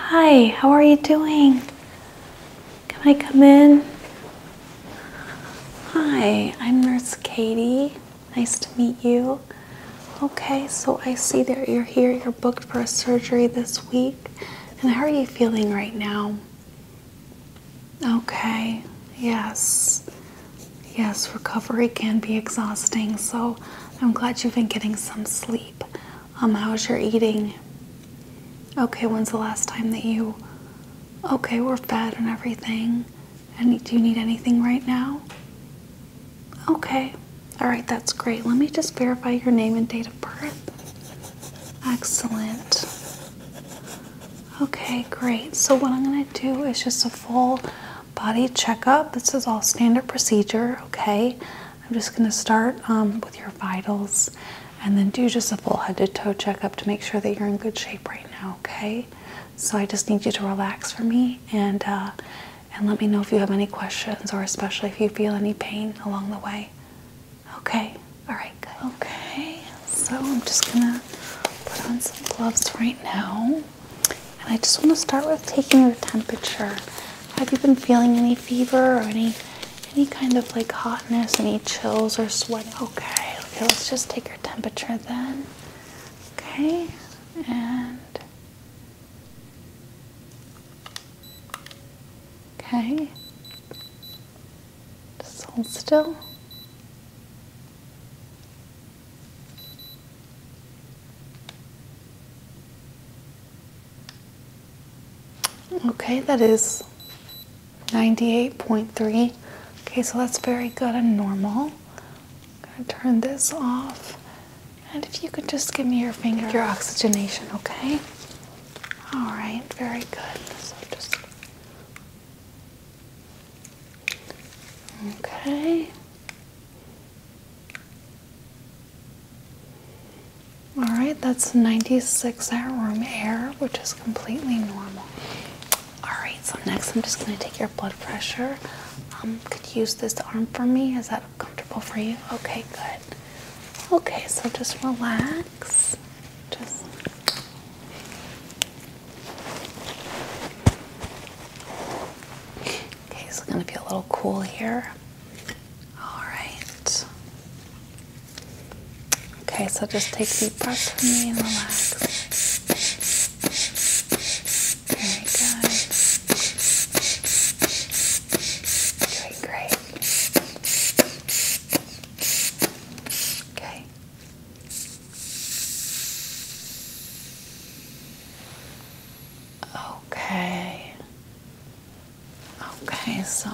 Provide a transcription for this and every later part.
Hi, how are you doing? Can I come in? Hi, I'm Nurse Katie. Nice to meet you. Okay, so I see that you're here. You're booked for a surgery this week. And how are you feeling right now? Okay, yes. Yes, recovery can be exhausting, so I'm glad you've been getting some sleep. Um, how's your eating? Okay, when's the last time that you. Okay, we're fed and everything. And do you need anything right now? Okay, all right, that's great. Let me just verify your name and date of birth. Excellent. Okay, great. So, what I'm going to do is just a full body checkup. This is all standard procedure, okay? I'm just going to start um, with your vitals and then do just a full head to toe checkup to make sure that you're in good shape right now, okay? So, I just need you to relax for me and, uh, and let me know if you have any questions or especially if you feel any pain along the way. Okay. All right. Good. Okay. So I'm just gonna put on some gloves right now, and I just want to start with taking your temperature. Have you been feeling any fever or any any kind of like hotness, any chills or sweating? Okay. Okay. Let's just take your temperature then. Okay. And Okay. Just hold still. Okay, that is 98.3. Okay, so that's very good and normal. I'm gonna turn this off. And if you could just give me your finger, your oxygenation, okay? All right, very good. So just okay. All right, that's 96 hour room air, which is completely normal. All right, so next I'm just going to take your blood pressure. Um, could use this arm for me? Is that comfortable for you? Okay, good. Okay, so just relax. Just Okay, it's gonna be a little cool here. Alright. Okay, so just take deep breaths from me and relax. Very good great. Okay. Okay. Okay, so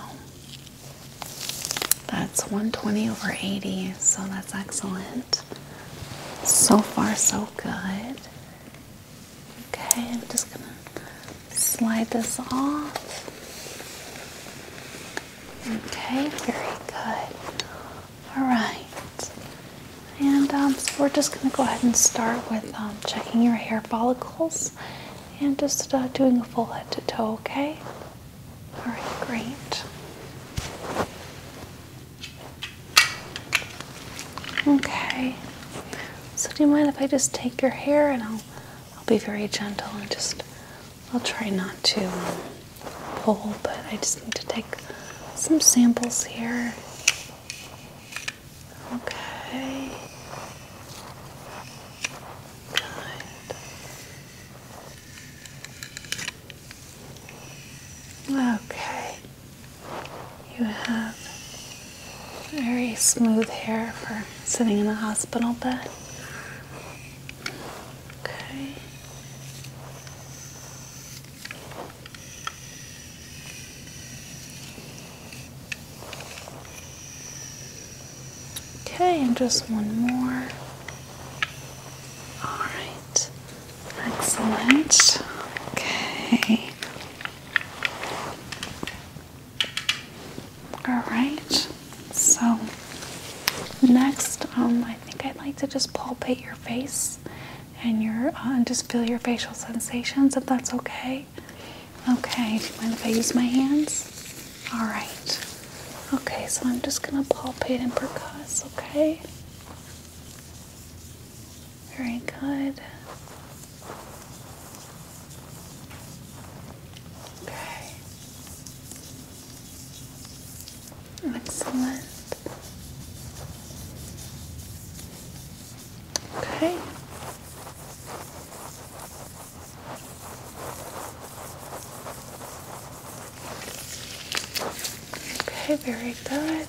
that's 120 over 80, so that's excellent. So far, so good. Okay, I'm just going to slide this off. Okay, very good. All right. And um, so we're just going to go ahead and start with um, checking your hair follicles and just uh, doing a full head to toe, okay? All right, great. Okay. So do you mind if I just take your hair and I'll I'll be very gentle and just I'll try not to um, pull, but I just need to take some samples here. Okay. Good. Okay. You have very smooth hair for sitting in a hospital bed. Okay. Okay, and just one more. All right. Excellent. Okay. All right. So next, um, I think I'd like to just palpate your face and your uh, and just feel your facial sensations, if that's okay. Okay. Do you mind if I use my hands? All right. Okay. So I'm just gonna palpate and percuss. Okay. Very good. Okay. Excellent. Okay. Okay, very good.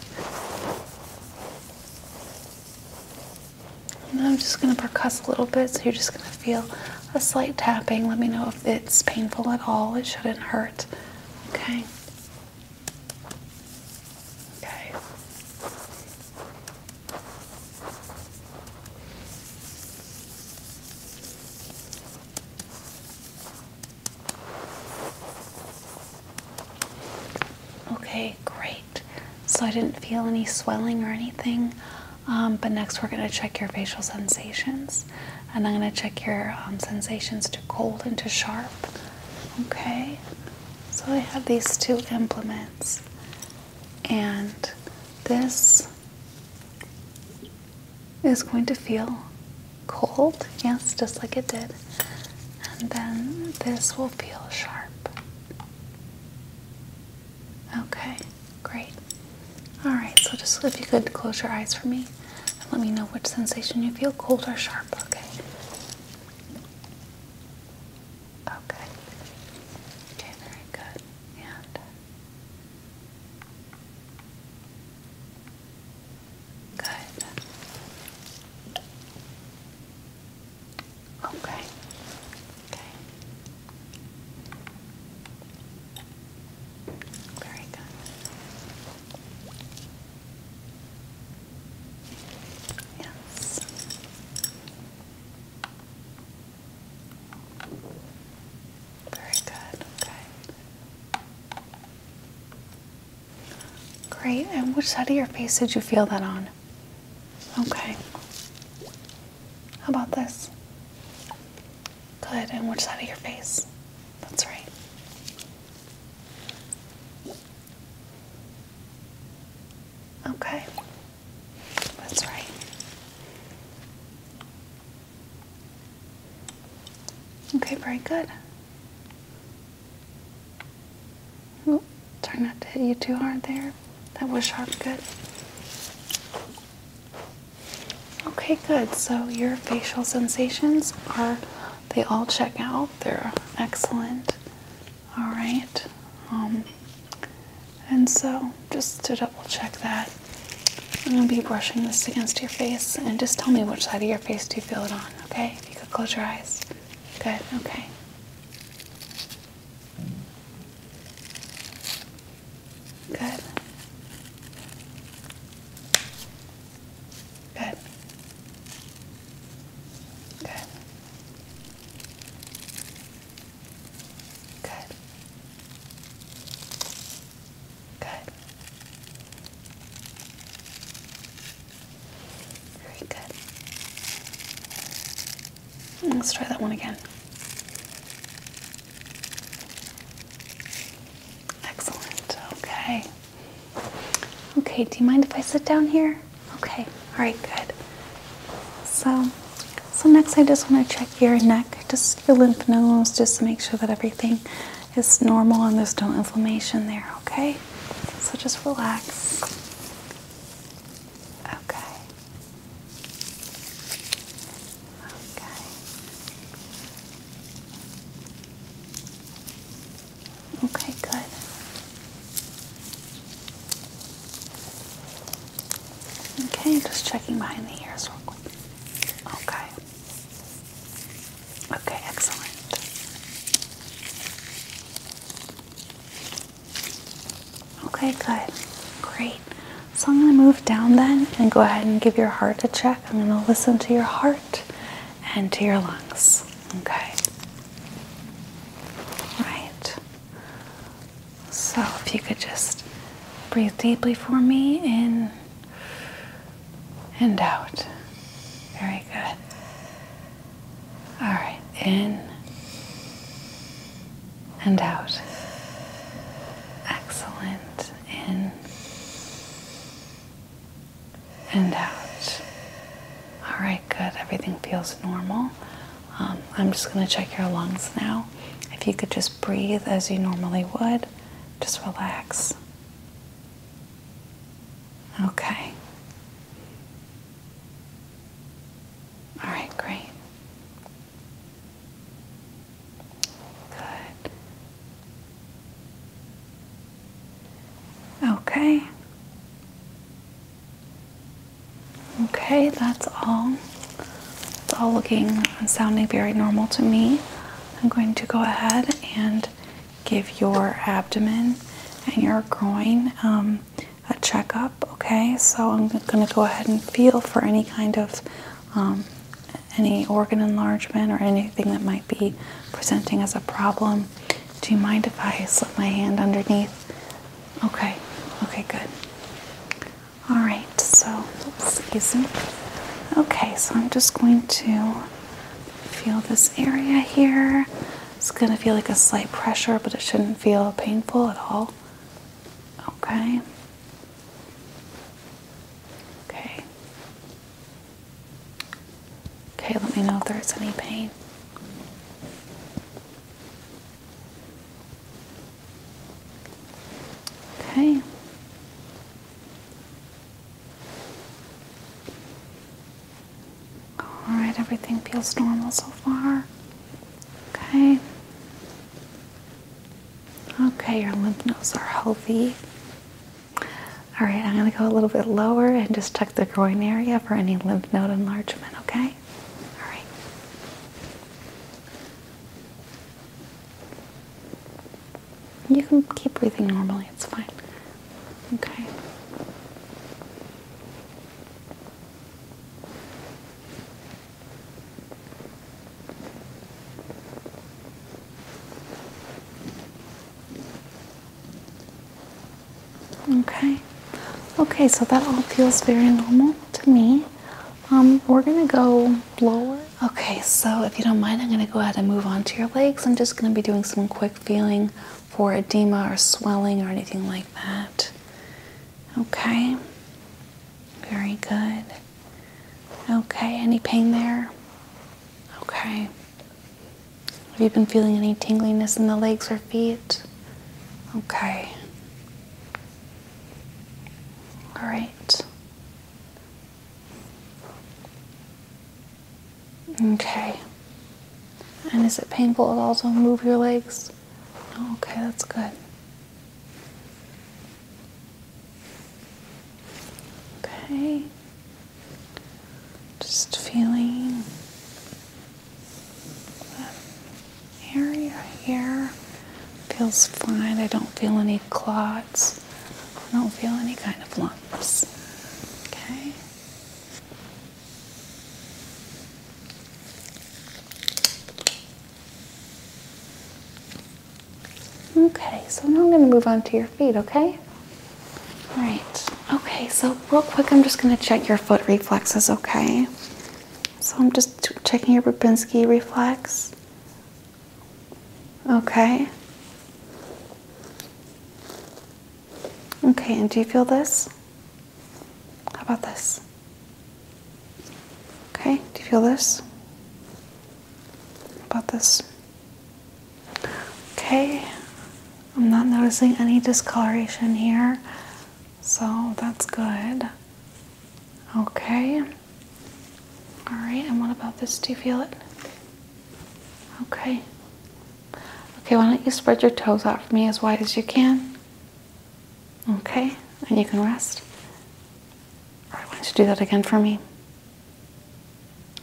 I'm just going to percuss a little bit, so you're just going to feel a slight tapping. Let me know if it's painful at all. It shouldn't hurt. Okay. Okay. Okay, great. So I didn't feel any swelling or anything, um, but next we're going to check your facial sensations. And I'm going to check your um, sensations to cold and to sharp. Okay, so I have these two implements, and this is going to feel cold, yes, just like it did, and then this will feel sharp. Okay, great. Alright, so just if you could close your eyes for me and let me know which sensation you feel cold or sharp, okay? Okay. Okay, very good. And Good. Okay. Okay. Very good. Yes. Very good. Okay. Great. And which side of your face did you feel that on? Okay. How about this? Good. And which side of your face? That's right. Okay. That's right. Okay, very good. Well, try not to hit you too hard there. That was sharp, good. Okay, good. So your facial sensations are, they all check out. They're excellent. All right. Um, and so just to double check that, I'm going to be brushing this against your face and just tell me which side of your face do you feel it on, okay? If you could close your eyes. Good, okay. Good. Good. Good. Good. Good. Very good. Hmm, let's try that one again. Excellent. Okay. Okay, do you mind if I sit down here? Okay. All right, good. So, so next I just want to check your neck, just your lymph nodes, just to make sure that everything is normal and there's no inflammation there, okay? So just relax. Okay. Okay. Okay, good. Okay, just checking behind the ears real quick. Okay. Okay, excellent. Okay, good. Great. So I'm going to move down then and go ahead and give your heart a check. I'm going to listen to your heart and to your lungs. Okay. Right. So if you could just breathe deeply for me in and out. Very good. All right, in and out. Excellent. In and out. All right, good. Everything feels normal. Um, I'm just going to check your lungs now. If you could just breathe as you normally would, just relax. Okay. All right, great. Good. Okay. Okay, that's all. It's all looking and sounding very normal to me. I'm going to go ahead and give your abdomen and your groin um, a checkup. Okay, so I'm going to go ahead and feel for any kind of um, any organ enlargement or anything that might be presenting as a problem. Do you mind if I slip my hand underneath? Okay, okay, good. All right, so Okay, so I'm just going to Feel this area here. It's going to feel like a slight pressure, but it shouldn't feel painful at all. Okay. Okay. Okay, let me know if there's any pain. Okay. Alright, everything feels normal so far. Okay. Okay, your lymph nodes are healthy. Alright, I'm going to go a little bit lower and just check the groin area for any lymph node enlargement, okay? Alright. You can keep breathing normally, it's fine. Okay. Okay. Okay, so that all feels very normal to me. Um, we're gonna go lower. Okay, so if you don't mind, I'm gonna go ahead and move on to your legs. I'm just gonna be doing some quick feeling for edema or swelling or anything like that. Okay, very good. Okay, any pain there? Okay. Have you been feeling any tinglingness in the legs or feet? Okay. All right. Okay. And is it painful at all to move your legs? Okay, that's good. Okay. Just feeling the area here. Feels fine. I don't feel any clot. I don't feel any kind of lumps. Okay. Okay, so now I'm going to move on to your feet, okay? All right. Okay, so real quick, I'm just going to check your foot reflexes, okay? So I'm just checking your Babinski reflex. Okay. Okay, and do you feel this? How about this? Okay, do you feel this? about this? Okay, I'm not noticing any discoloration here, so that's good. Okay. All right, and what about this? Do you feel it? Okay. Okay, why don't you spread your toes out for me as wide as you can? Okay, and you can rest. All right, why don't you do that again for me?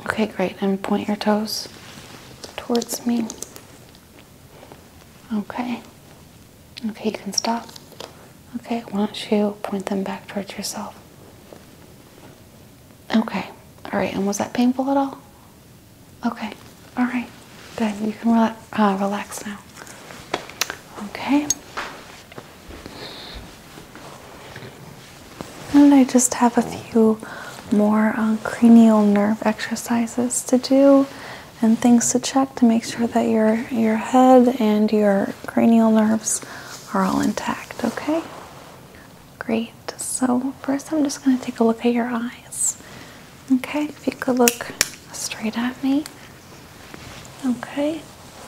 Okay, great. And point your toes towards me. Okay. Okay, you can stop. Okay, why don't you point them back towards yourself? Okay. All right. And was that painful at all? Okay. All right. Good. You can uh, relax now. Okay. And I just have a few more uh, cranial nerve exercises to do and things to check to make sure that your your head and your cranial nerves are all intact, okay? Great. So, first I'm just going to take a look at your eyes. Okay, if you could look straight at me. Okay,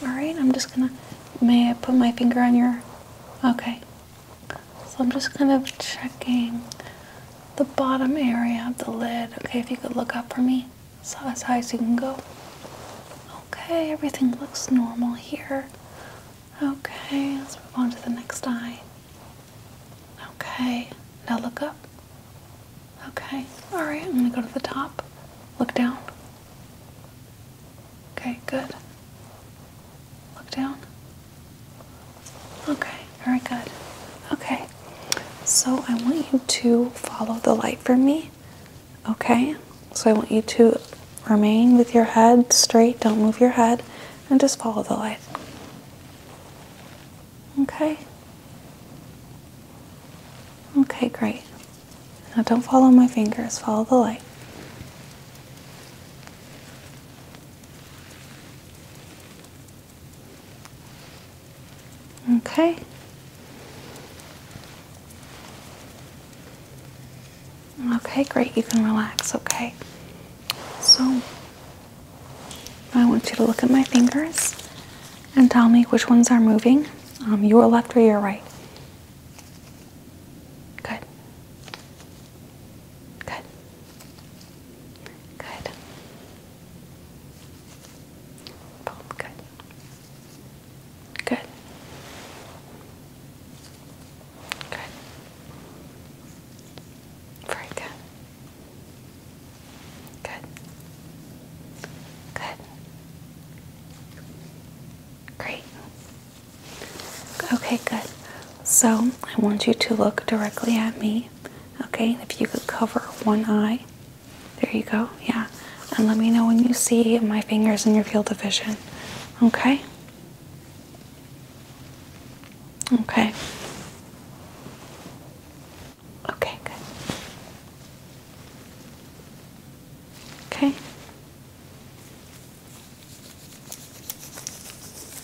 alright. I'm just going to. May I put my finger on your. Okay. So, I'm just kind of checking the bottom area of the lid. Okay, if you could look up for me. as high as you can go. Okay, everything looks normal here. Okay, let's move on to the next eye. Okay, now look up. Okay, alright, I'm gonna go to the top. Look down. Okay, good. Look down. Okay, All right. good. Okay, so I want you to follow the light for me. Okay, so I want you to remain with your head straight, don't move your head, and just follow the light. Okay. Okay, great. Now don't follow my fingers, follow the light. Okay. Okay, great. You can relax, okay? So, I want you to look at my fingers and tell me which ones are moving um, your left or your right. Good. Good. Good. Both good. Good. Good. Very good. Good. Good. Great. Okay, good. So I want you to look directly at me. Okay, if you could cover one eye. There you go. Yeah. And let me know when you see my fingers in your field of vision. Okay? Okay. Okay, good. Okay.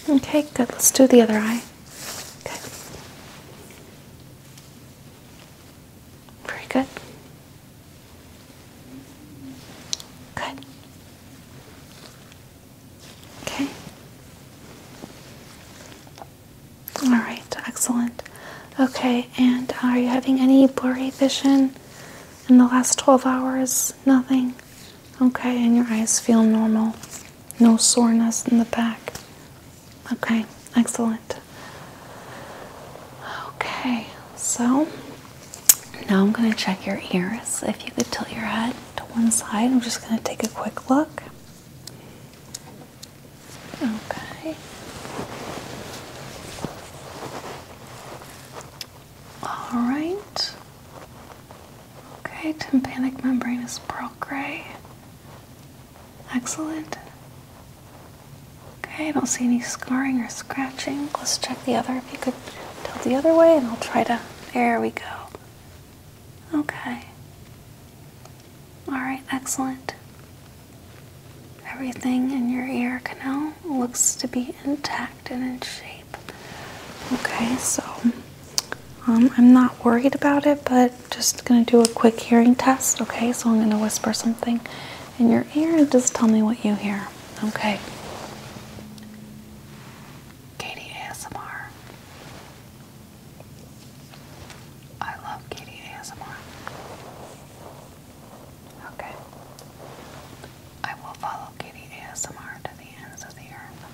Okay, good. Let's do the other eye. Okay. Very good. Good. Okay. All right, excellent. Okay, and are you having any blurry vision in the last 12 hours? Nothing. Okay, and your eyes feel normal. No soreness in the back. Okay, excellent. Okay, so now I'm going to check your ears. If you could tilt your head to one side, I'm just going to take a quick look. Okay. All right. Okay, tympanic membrane is pearl gray. Excellent. Okay, I don't see any scarring or scratching. Let's check the other. If you could tilt the other way and I'll try to. There we go. Okay. Alright, excellent. Everything in your ear canal looks to be intact and in shape. Okay, so um, I'm not worried about it, but just gonna do a quick hearing test. Okay, so I'm gonna whisper something in your ear. Just tell me what you hear. Okay. Katie ASMR. I love Katie ASMR. Okay. I will follow Katie ASMR to the ends of the earth.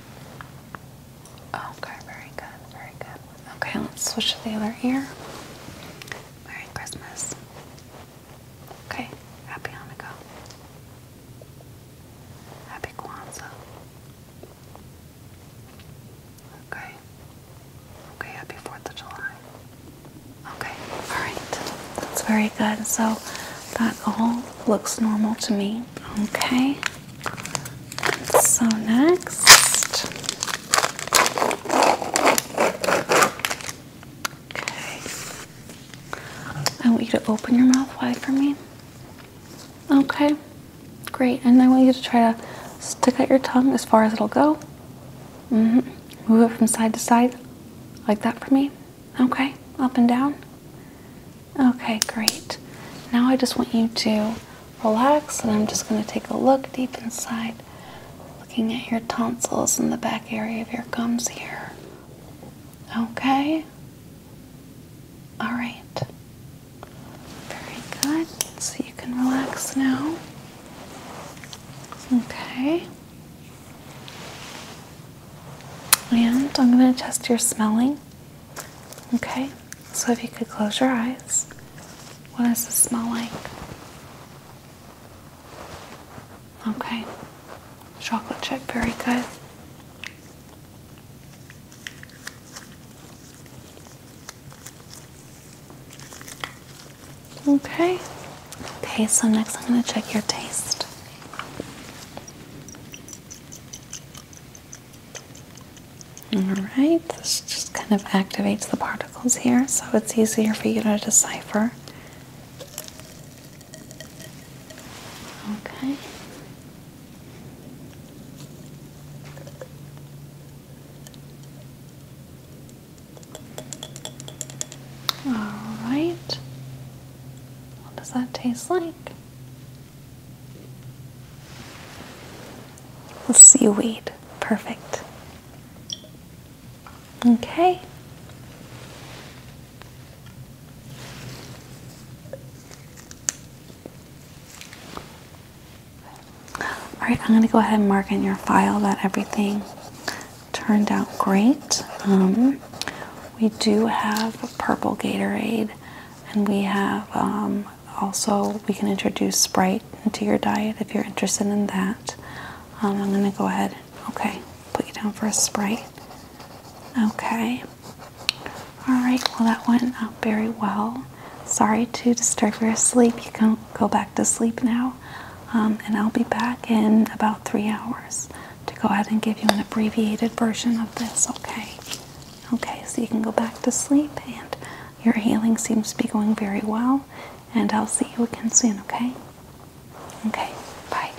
Okay, very good, very good. Okay, let's switch to the other ear. Merry Christmas. Okay, happy Hanukkah. Happy Kwanzaa. Okay. Okay, happy 4th of July. Okay, alright. That's very good. So that all looks normal to me. Okay. So next. Okay. I want you to open your mouth wide for me. Okay. Great. And I want you to try to stick out your tongue as far as it'll go. Mm hmm Move it from side to side like that for me. Okay. Up and down. Okay, great. Now I just want you to relax and I'm just going to take a look deep inside. Looking at your tonsils in the back area of your gums here. Okay? Alright. Very good. So you can relax now. Okay. And I'm going to test your smelling. Okay? So if you could close your eyes. What does it smell like? Okay. Chocolate chip, very good. Okay. Okay, so next I'm going to check your taste. All right, this just kind of activates the part here, so it's easier for you to decipher. Okay. All right. What does that taste like? Seaweed. Perfect. Okay. All right, I'm going to go ahead and mark in your file that everything turned out great. Um, we do have purple Gatorade, and we have um, also, we can introduce Sprite into your diet if you're interested in that. Um, I'm going to go ahead. Okay, put you down for a spray. Okay. All right, well, that went out very well. Sorry to disturb your sleep. You can go back to sleep now. Um, and I'll be back in about three hours to go ahead and give you an abbreviated version of this, okay? Okay, so you can go back to sleep, and your healing seems to be going very well and I'll see you again soon, okay? Okay, bye.